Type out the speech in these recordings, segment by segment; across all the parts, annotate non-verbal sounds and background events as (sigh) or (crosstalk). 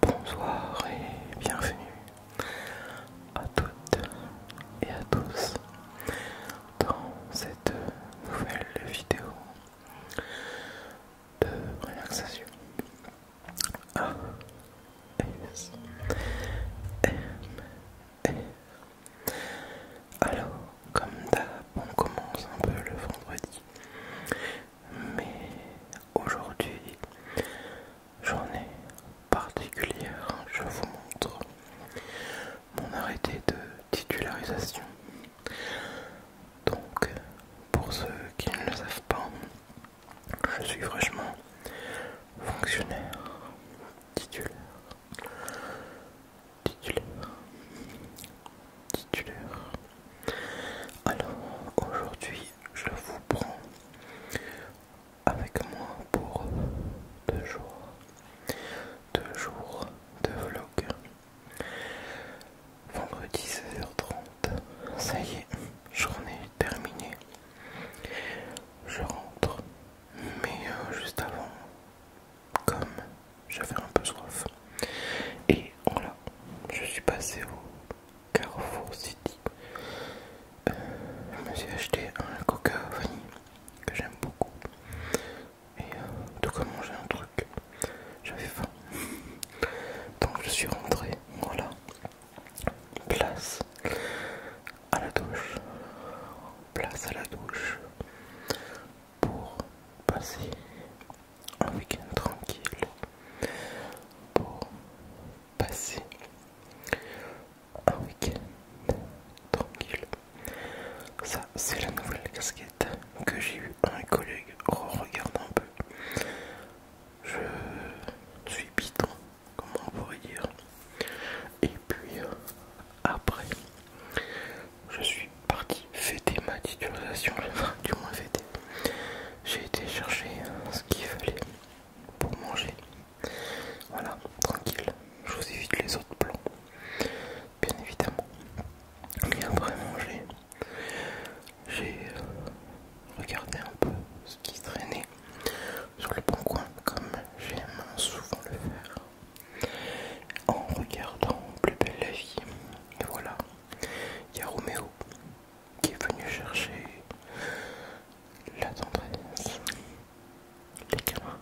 Bonsoir et bienvenue à toutes et à tous dans cette nouvelle vidéo de relaxation A Alors comme d'hab on commence un peu le vendredi mais aujourd'hui, journée particulière, je vous montre mon arrêté de titularisation. Donc, pour ceux qui ne le savent pas, je suis fraîchement fonctionnaire titulaire. Titulaire. Titulaire. Alors, aujourd'hui, je vous prends avec moi pour deux jours, deux jours de vlog. Vendredi 16h30, ça y est, journée terminée. Je rentre, mais euh, juste avant, comme j'avais un peu soif, et voilà, je suis passé au Carrefour City. Euh, je me suis acheté un coca vanille que j'aime beaucoup. Et de euh, tout comme manger un truc, j'avais faim. (laughs) Donc je suis rentré, voilà. Place à la douche. Place à la douche pour passer un week-end tranquille pour passer un week-end tranquille. Ça, c'est la nouvelle casquette que j'ai eu à un collègue. Regarde un peu. Je suis piton, comment on pourrait dire. Et puis, après, je suis parti Fêtez ma des du moins fêté. J'ai été chercher euh, ce qu'il fallait pour manger. Voilà, tranquille, je vous évite les autres plans, bien évidemment. mais après manger, j'ai euh, regardé un peu ce qui traînait sur le bon coin, comme j'aime souvent le faire, en regardant Plus belle la vie. voilà, il y a Roméo qui est venu chercher la tendresse, les caméras,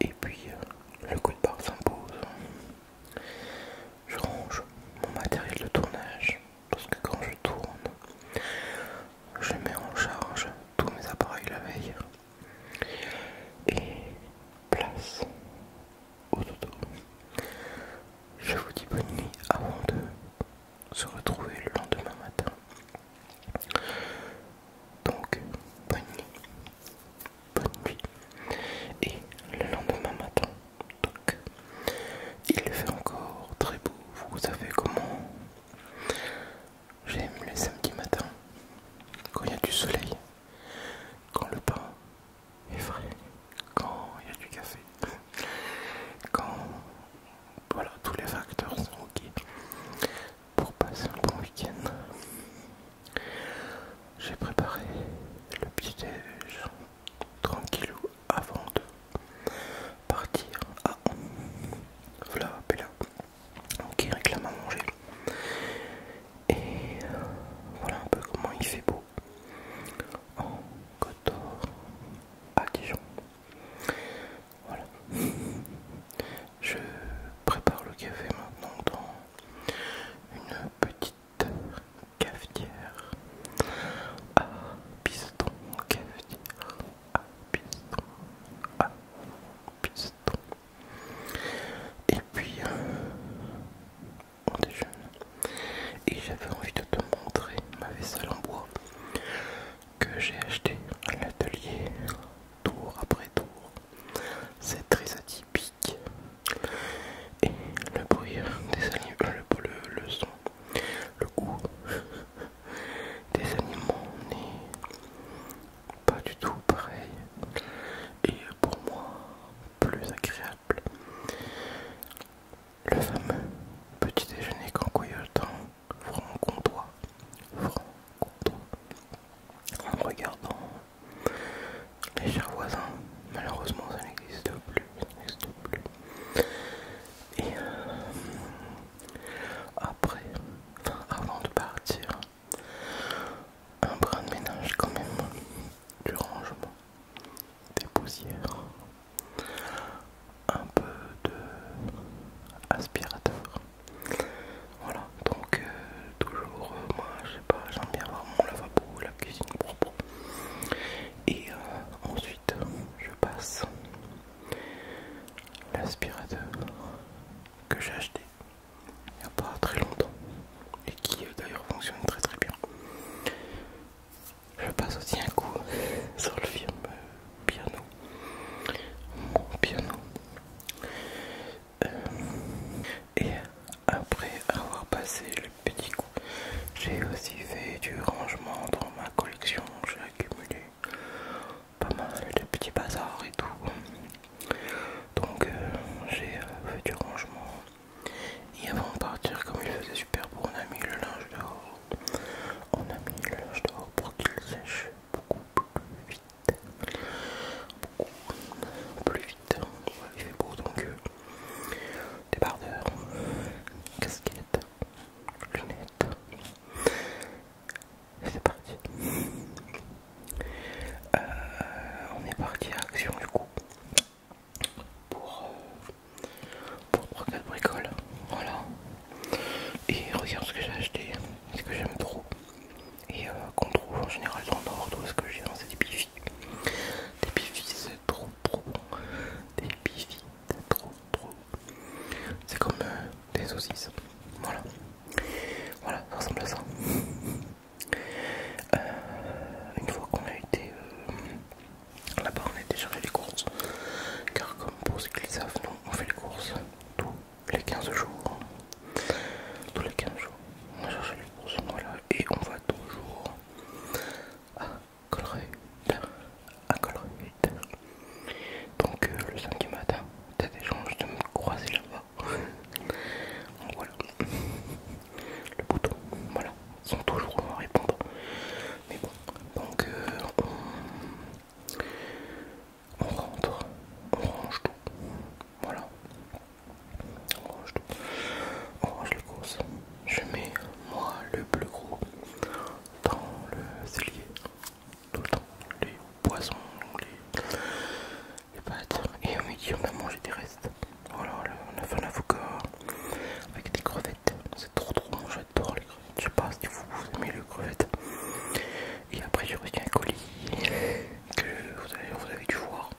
Et puis euh, le coup de barre s'impose. Je range mon matériel de tournage parce que quand je tourne, je mets en charge tous mes appareils la veille et place au Je vous dis bonne nuit avant de se retrouver le lendemain matin. Donc, bonne nuit. Bonne nuit. Et le lendemain matin, donc, il fait encore très beau. Vous savez comment j'aime les samedis matin, quand il y a du soleil, quand le pain effrayé quand il y a du café, quand voilà tous les facteurs sont ok pour passer un bon week-end. J'ai préparé le petit déj tranquillou avant de partir. à voilà, Bella qui réclame à manger. Et voilà un peu comment il fait beau en Côte à Dijon. Voilà. (laughs) Je prépare le café maintenant dans une petite cafetière à ah, piston, cafetière à ah, piston, à ah, piston. Et puis, euh, on oh, déjeune. Et j'avais envie de te montrer ma vaisselle en bois que j'ai acheté à l'atelier tour après tour. C'est très atypique. Et le bruit des animaux, euh, le, le son, le goût (laughs) des animaux n'est pas du tout pareil. Et pour moi, plus agréable le fameux petit déjeuner cancoyotant franc-comtois, franc en regardant les chers voisins, malheureusement ça n'existe plus, ça n'existe Et euh, après, avant de partir, un brin de ménage quand même, du rangement, des poussières, un peu d'aspirateur. aspirateur. Voilà, donc euh, toujours, euh, moi je sais pas, j'aime bien avoir mon lavabo, la cuisine propre. Et euh, ensuite, je passe l'aspirateur que j'ai acheté il n'y a pas très longtemps et qui euh, d'ailleurs fonctionne très très bien. Je passe aussi un coup (laughs) sur le film euh, Piano. Mon piano. Euh, et après avoir passé le petit coup, j'ai aussi fait du rangement dans ma collection. J'ai accumulé pas mal de petits bazars et tout. Donc euh, j'ai euh, fait du rangement. Et avant de partir, comme il faisait super beau, on a mis le linge dehors. On a mis le linge dehors pour qu'il sèche beaucoup plus vite. Beaucoup plus vite. il fait beau donc euh, débardeur, casquette, lunettes. C'est parti. Euh, on est parti à Action du coup pour, 3-4 euh, Voilà. Et regarde ce que j'ai acheté, ce que j'aime trop. Et euh, qu'on trouve en général dans tout ce que j'ai dans des bifis. Des bifis c'est trop trop Des bifis c'est trop trop C'est comme des saucisses. Voilà. Voilà, ça ressemble à ça. Euh, une fois qu'on a été euh, là-bas, on a été fait les courses. Car, comme pour ceux qui le savent, nous on fait les courses tous les 15 jours. Tous les 15 jours, on a cherché les courses, et on va toujours à Colruyt. À Donc, euh, le samedi matin, t'as des chances de me croiser là-bas voilà. Le bouton, voilà, ils sont toujours et répondre. Mais bon, donc euh, on... rentre, on range tout. Voilà. On range tout. On range le gros. Je mets moi le bleu gros dans le cellier. Tout le temps. Les poissons, les, et on et dit on a mangé des restes. Voilà, oh on a fait un avocat avec des crevettes. C'est trop trop bon, j'adore les crevettes. Je sais pas si vous, aimez les crevettes. Et après j'ai reçu un colis que vous avez, dû voir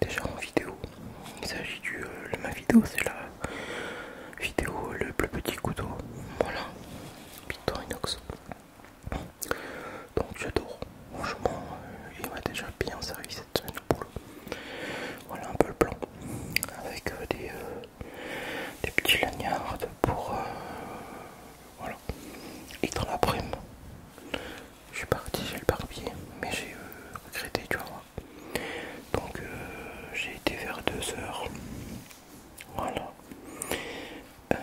déjà en vidéo. Il s'agit du... Euh, ma vidéo c'est la vidéo euh, le plus petit couteau. Voilà, Victorinox. Donc j'adore, franchement, euh, il m'a déjà bien servi cette semaine au boulot. Voilà un peu le plan, avec euh, euh, des, petits laniards pour... voilà. Et dans laprès je suis parti j'ai le barbier, mais j'ai regretté, tu vois. Donc j'ai été vers 2 heures. Voilà. Euh,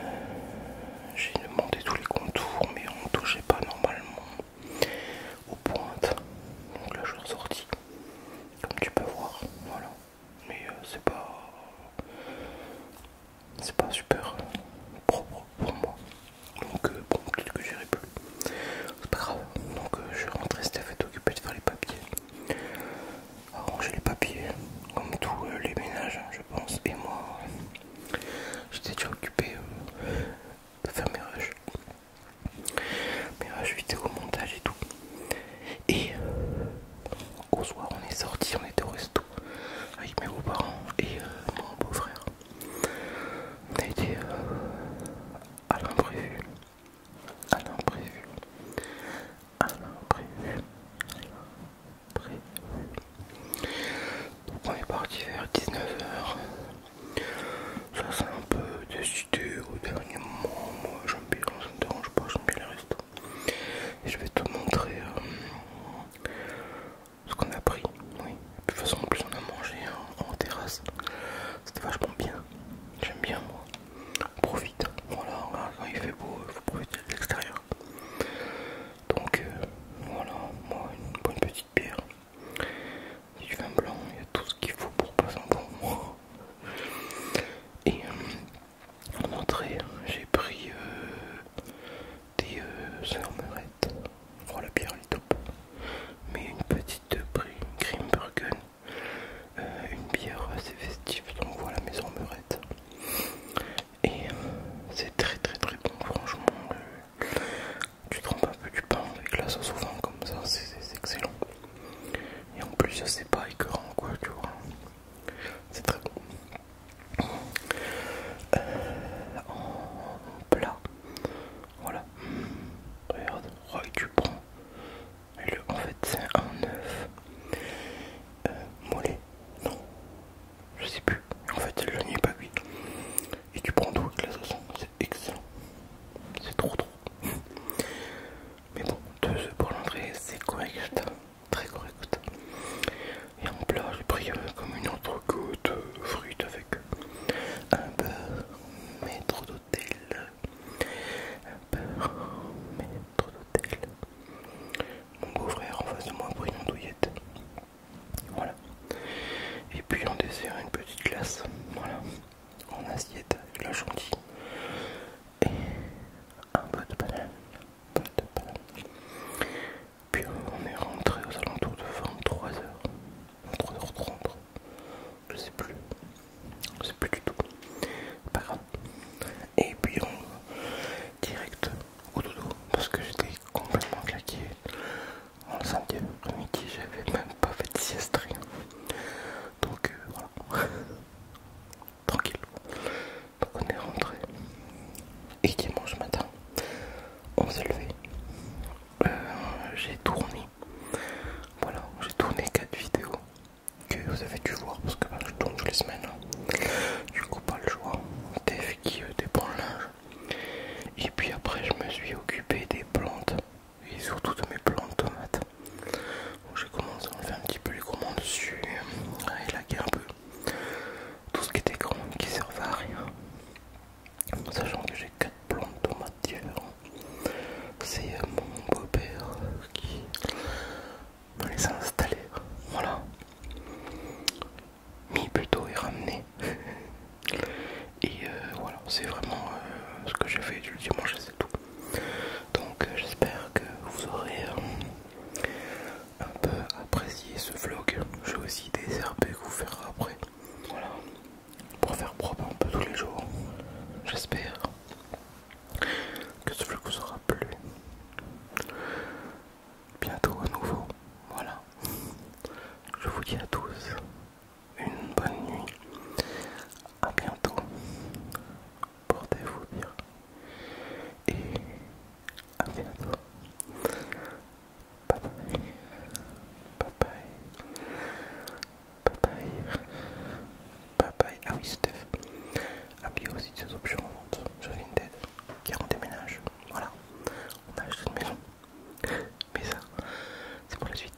j'ai demandé tous les contours, mais on ne touchait pas normalement aux pointes. Donc là, je suis ressorti, comme tu peux voir. Voilà, mais euh, c'est pas. C'est pas super propre pour moi. Donc, euh, bon, peut-être que j'irai plus. C'est pas grave. Donc, je suis rentré. Steph est occupé de faire les papiers. Arranger les papiers, comme tous les ménages, je pense. Et moi, J'étais déjà occupé euh, de faire mes rushs. Mes rushs vidéo, montage et tout. Et euh, au soir, on est sorti, on était au resto avec mes beaux-parents et euh, mon beau-frère. On a été à l'imprévu. À l'imprévu. À l'imprévu on est parti vers 19h. Ça c'est un peu décidé au dernier moment. Moi j'aime bien, ça me dérange pas, j'aime bien les restos. je vais te montrer euh, ce qu'on a pris. De toute façon, en plus on a mangé en, terrasse. C'était vachement bien. J'aime bien moi. profite. Voilà, quand il fait beau, il faut profiter de l'extérieur. Donc euh, voilà, moi une bonne petite bière. du vin blanc, il y a tout ce qu'il faut pour passer un bon Et euh, en entrée, j'ai pris euh, des euh, sœurs oh, la bière est top. Mais une petite prix Grimbergen. une bière assez festive, donc voilà mes sœurs et euh, c'est très très très bon franchement tu trompes un peu du pain avec la sauce au comme ça c'est excellent et en plus c'est pas écœurant quoi tu vois c'est très bon euh, en plat voilà regarde oh, tu prends en fait c'est un œuf euh, mollet non je sais plus. En fait, je n'y ai pas vu. Et tu prends tout avec la sauce. C'est excellent. C'est trop trop. Mais bon, deux oeufs pour l'entrée, c'est correct. Très correct. Et en plat, j'ai pris euh, comme une goutte de euh, fruit avec un beurre maître d'hôtel. Un beurre maître d'hôtel mon beau-frère en face de moi pour une Voilà. Et puis on dessert, une petite glace. Voilà. En assiette, la chantilly. Et un peu de banane. Puis on est rentré aux alentours de 23h. 23h30. Je sais plus. Je sais plus du tout. Pas grave. Et puis on direct au dodo parce que j'étais complètement claqué. En samedi mais midi j'avais même pas fait de sieste Donc euh, voilà. (laughs) Tranquille. Donc on est rentré. Et dimanche matin, on s'est levé. Euh, j'ai tourné. Voilà, j'ai tourné quatre vidéos que vous avez dû voir parce que je tourne tous les semaines. Hein. Du coup, pas le choix. des qui euh, dépend le linge. Et puis après, je me suis occupé des plantes et surtout de mes plantes tomates. J'ai commencé à enlever un petit peu les commandes dessus euh, et élaguer un peu tout ce qui était grand qui servait à rien. Sachant que j'ai 4 plantes différentes. C'est euh, mon beau-père qui pour les installer. Voilà. Mis plutôt (laughs) et ramené. Euh, et voilà, c'est vraiment euh, ce que j'ai fait du dimanche, c'est tout. Donc euh, j'espère que vous aurez un peu apprécié ce vlog. J'ai aussi des herbes que vous ferez après. Voilà. Pour faire propre un peu tous les jours. J'espère que ce vlog vous aura Bientôt à nouveau. Voilà. Je vous dis à tous une bonne nuit. à bientôt. Portez-vous bien. Et à bientôt. Bye bye bye, ah oui Steph. Appuyez aussi ses options sur qui car on déménage. Voilà, on a une maison. Mais ça, c'est pour la suite.